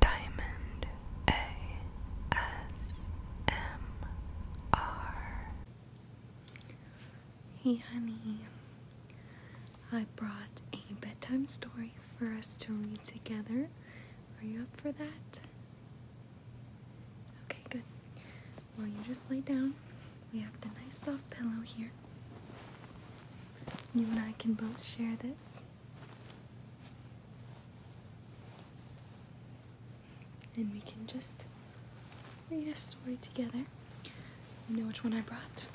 Diamond ASMR. Hey, honey. I brought a bedtime story for us to read together. Are you up for that? Okay, good. Well, you just lay down. We have the nice soft pillow here. You and I can both share this. And we can just read a story together. You know which one I brought?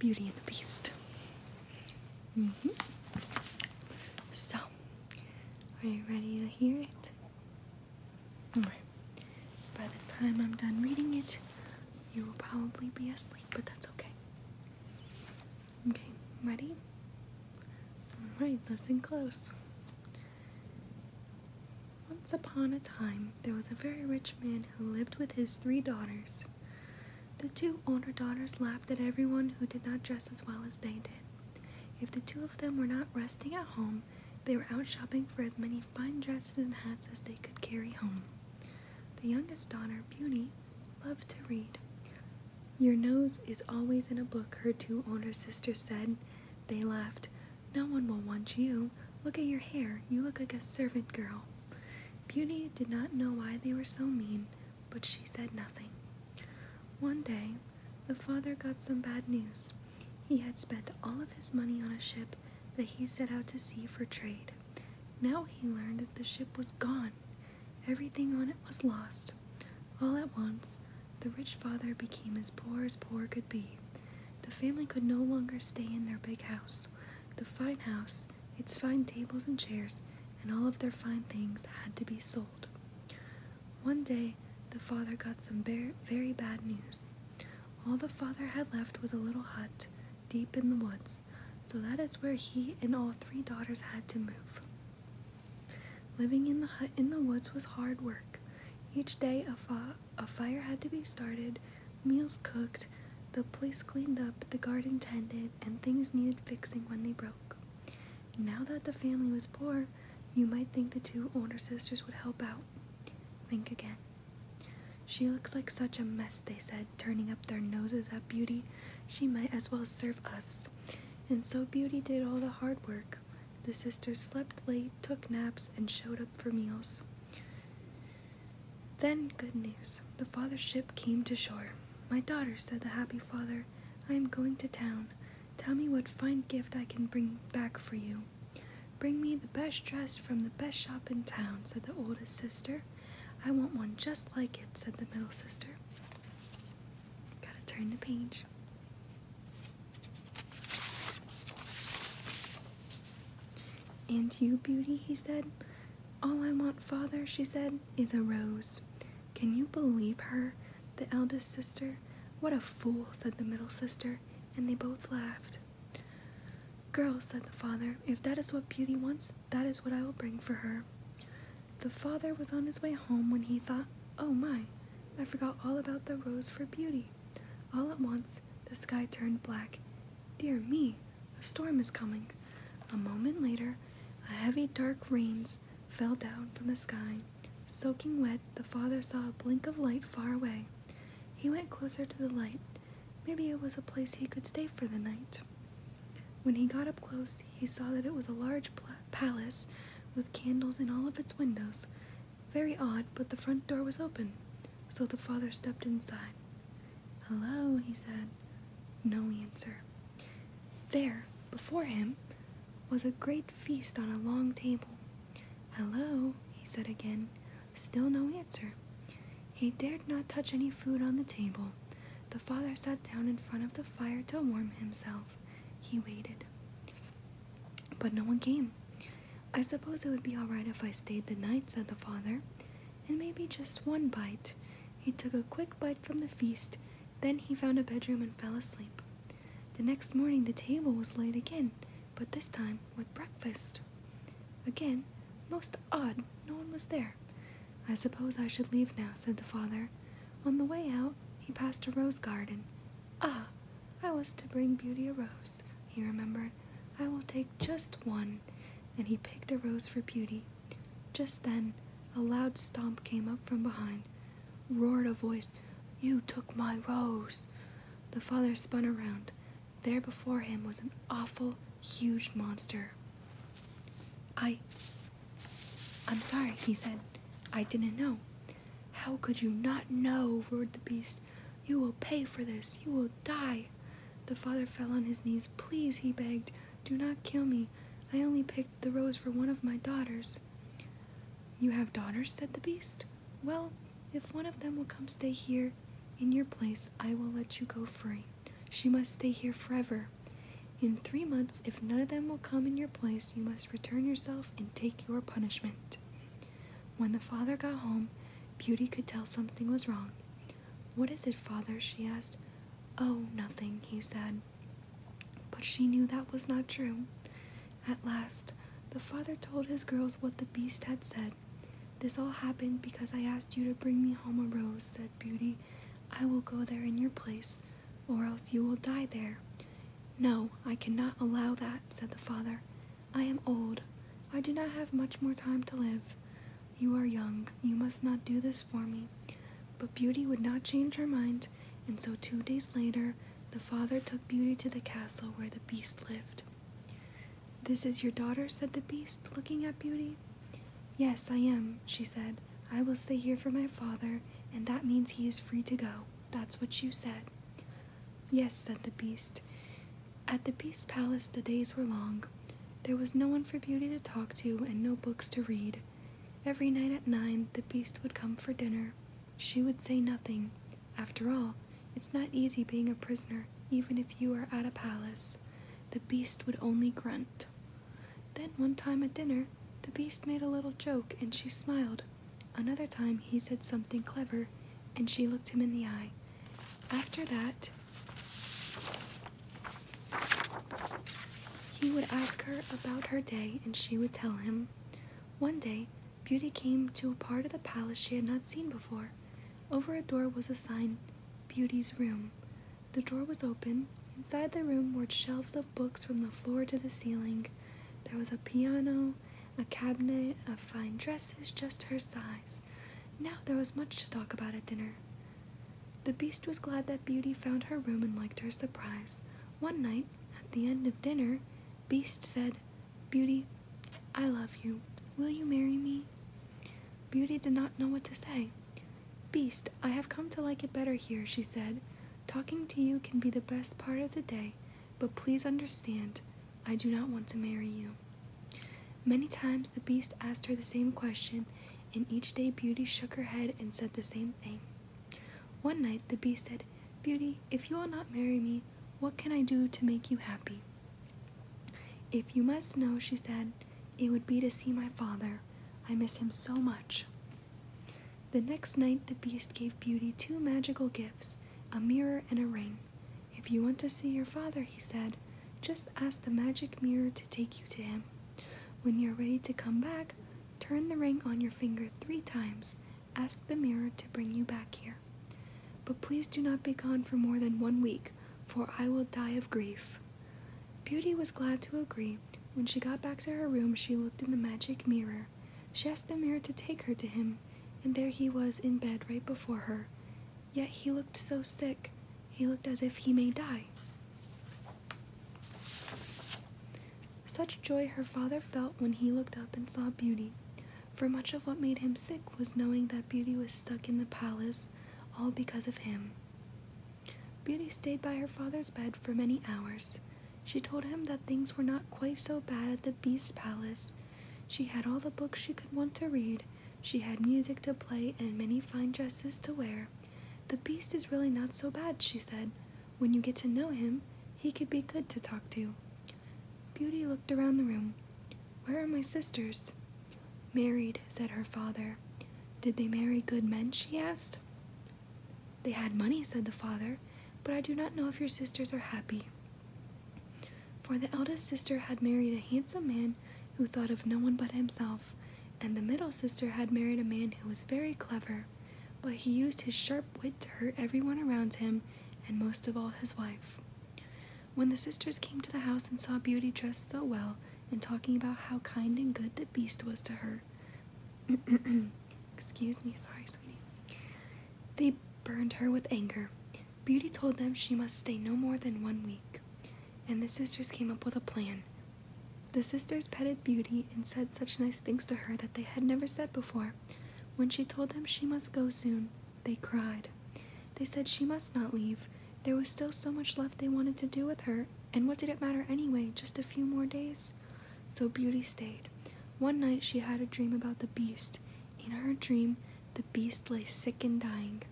Beauty and the Beast. Mm -hmm. So, are you ready to hear it? By the time I'm done reading it, you will probably be asleep, but that's okay. Okay, ready? Alright, listen close. Once upon a time, there was a very rich man who lived with his three daughters. The two older daughters laughed at everyone who did not dress as well as they did. If the two of them were not resting at home, they were out shopping for as many fine dresses and hats as they could carry home. The youngest daughter, Beauty, loved to read. Your nose is always in a book, her two older sisters said. They laughed. No one will want you. Look at your hair. You look like a servant girl. Beauty did not know why they were so mean, but she said nothing. One day, the father got some bad news. He had spent all of his money on a ship that he set out to sea for trade. Now he learned that the ship was gone. Everything on it was lost. All at once, the rich father became as poor as poor could be. The family could no longer stay in their big house. The fine house, its fine tables and chairs, and all of their fine things had to be sold. One day, the father got some very bad news. All the father had left was a little hut deep in the woods, so that is where he and all three daughters had to move. Living in the hut in the woods was hard work. Each day a, fire had to be started, meals cooked, the place cleaned up, the garden tended, and things needed fixing when they broke. Now that the family was poor, you might think the two older sisters would help out. Think again. She looks like such a mess, they said turning up their noses at Beauty, she might as well serve us. And so Beauty did all the hard work. The sisters slept late, took naps, and showed up for meals. Then, good news. The father's ship came to shore. My daughter, said the happy father, I am going to town. Tell me what fine gift I can bring back for you. Bring me the best dress from the best shop in town, said the oldest sister. I want one just like it, said the middle sister. Gotta turn the page. And you, beauty, he said. All I want, father, she said, is a rose. Can you believe her? The eldest sister. What a fool, said the middle sister, and they both laughed. Girl, said the father, if that is what Beauty wants, that is what I will bring for her. The father was on his way home when he thought, Oh my, I forgot all about the rose for Beauty. All at once, the sky turned black. Dear me, a storm is coming. A moment later, a heavy dark rains fell down from the sky. Soaking wet, the father saw a blink of light far away. He went closer to the light. Maybe it was a place he could stay for the night. When he got up close, he saw that it was a large palace with candles in all of its windows. Very odd, but the front door was open, so the father stepped inside. Hello, he said. No answer. There, before him, was a great feast on a long table. Hello, he said again. Still no answer. He dared not touch any food on the table. The father sat down in front of the fire to warm himself. He waited. But no one came. I suppose it would be all right if I stayed the night, said the father, and maybe just one bite. He took a quick bite from the feast, then he found a bedroom and fell asleep. The next morning the table was laid again, but this time with breakfast. Again, most odd, no one was there. I suppose I should leave now, said the father. On the way out, he passed a rose garden. Ah, I was to bring Beauty a rose, he remembered. I will take just one. And he picked a rose for Beauty. Just then, a loud stomp came up from behind. Roared a voice, You took my rose! The father spun around. There before him was an awful, huge monster. I. I'm sorry, he said. I didn't know. How could you not know? roared the beast. You will pay for this. You will die. The father fell on his knees. Please, he begged, do not kill me. I only picked the rose for one of my daughters. You have daughters? said the beast. Well, if one of them will come stay here, in your place, I will let you go free. She must stay here forever. In three months, if none of them will come in your place, you must return yourself and take your punishment. When the father got home, Beauty could tell something was wrong. What is it, father? she asked. Oh, nothing, he said. But she knew that was not true. At last, the father told his girls what the beast had said. This all happened because I asked you to bring me home a rose, said Beauty. I will go there in your place, or else you will die there. No, I cannot allow that, said the father. I am old. I do not have much more time to live. You are young. You must not do this for me. But Beauty would not change her mind, and so two days later, the father took Beauty to the castle where the beast lived. This is your daughter, said the beast, looking at Beauty. Yes, I am, she said. I will stay here for my father, and that means he is free to go. That's what you said. Yes, said the beast. At the beast's palace the days were long. There was no one for Beauty to talk to and no books to read. Every night at nine the beast would come for dinner. She would say nothing. After all, it's not easy being a prisoner, even if you are at a palace. The beast would only grunt. Then one time at dinner, the beast made a little joke and she smiled. Another time he said something clever and she looked him in the eye. After that, he would ask her about her day and she would tell him. One day, Beauty came to a part of the palace she had not seen before. Over a door was a sign, Beauty's Room. The door was open. Inside the room were shelves of books from the floor to the ceiling. There was a piano, a cabinet of fine dresses just her size. Now there was much to talk about at dinner. The beast was glad that Beauty found her room and liked her surprise. One night, at the end of dinner, Beast said, Beauty, I love you. Will you marry me? Beauty did not know what to say. Beast, I have come to like it better here, she said. Talking to you can be the best part of the day, but please understand, I do not want to marry you. Many times the beast asked her the same question, and each day Beauty shook her head and said the same thing. One night the beast said, Beauty, if you will not marry me, what can I do to make you happy? If you must know, she said, it would be to see my father. I miss him so much. The next night, the beast gave Beauty two magical gifts a mirror and a ring. If you want to see your father, he said, just ask the magic mirror to take you to him. When you're ready to come back, turn the ring on your finger three times. Ask the mirror to bring you back here. But please do not be gone for more than one week for I will die of grief. Beauty was glad to agree. When she got back to her room, she looked in the magic mirror. She asked the mirror to take her to him, and there he was in bed right before her. Yet he looked so sick, he looked as if he may die. Such joy her father felt when he looked up and saw Beauty for much of what made him sick was knowing that Beauty was stuck in the palace, all because of him. Beauty stayed by her father's bed for many hours. She told him that things were not quite so bad at the Beast's palace. She had all the books she could want to read, she had music to play, and many fine dresses to wear. The Beast is really not so bad, she said. When you get to know him, he could be good to talk to. Beauty looked around the room. Where are my sisters? Married, said her father. Did they marry good men? she asked. They had money, said the father, but I do not know if your sisters are happy. For the eldest sister had married a handsome man who thought of no one but himself, and the middle sister had married a man who was very clever, but he used his sharp wit to hurt everyone around him, and most of all his wife. When the sisters came to the house and saw Beauty dressed so well and talking about how kind and good the beast was to her, excuse me, sorry, sweetie, they burned her with anger. Beauty told them she must stay no more than one week, and the sisters came up with a plan. The sisters petted Beauty and said such nice things to her that they had never said before. When she told them she must go soon, they cried. They said she must not leave. There was still so much left they wanted to do with her, and what did it matter anyway? Just a few more days. So Beauty stayed. One night she had a dream about the beast. In her dream, the beast lay sick and dying.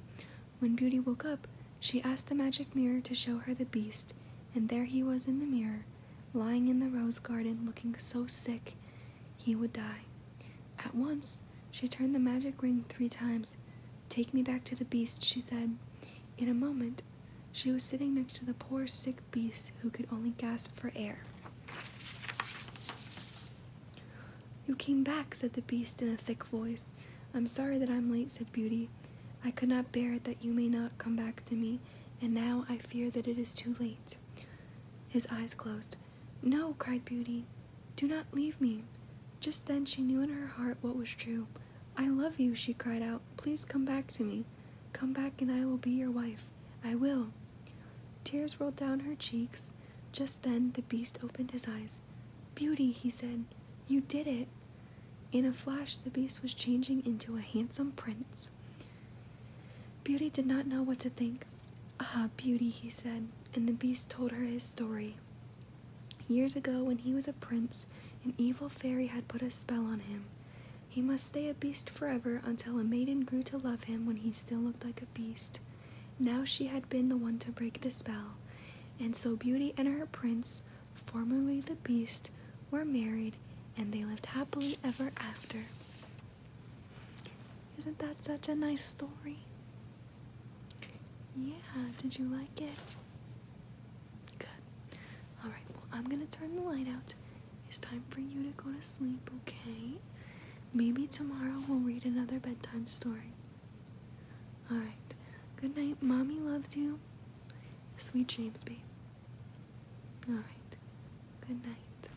When Beauty woke up, she asked the magic mirror to show her the beast, and there he was in the mirror, lying in the rose garden looking so sick he would die. At once, she turned the magic ring three times. Take me back to the beast, she said. In a moment, she was sitting next to the poor sick beast who could only gasp for air. You came back, said the beast in a thick voice. I'm sorry that I'm late, said Beauty. I could not bear it that you may not come back to me, and now I fear that it is too late. His eyes closed. No, cried Beauty. Do not leave me. Just then she knew in her heart what was true. I love you, she cried out. Please come back to me. Come back and I will be your wife. I will. Tears rolled down her cheeks. Just then the beast opened his eyes. Beauty, he said, you did it. In a flash, the beast was changing into a handsome prince. Beauty did not know what to think. Ah, beauty, he said, and the beast told her his story. Years ago, when he was a prince, an evil fairy had put a spell on him. He must stay a beast forever until a maiden grew to love him when he still looked like a beast. Now she had been the one to break the spell, and so Beauty and her prince, formerly the beast, were married, and they lived happily ever after. Isn't that such a nice story? Yeah, did you like it? Good. Alright, well, I'm gonna turn the light out. It's time for you to go to sleep, okay? Maybe tomorrow we'll read another bedtime story. Alright, good night. Mommy loves you. Sweet James babe. Alright, good night.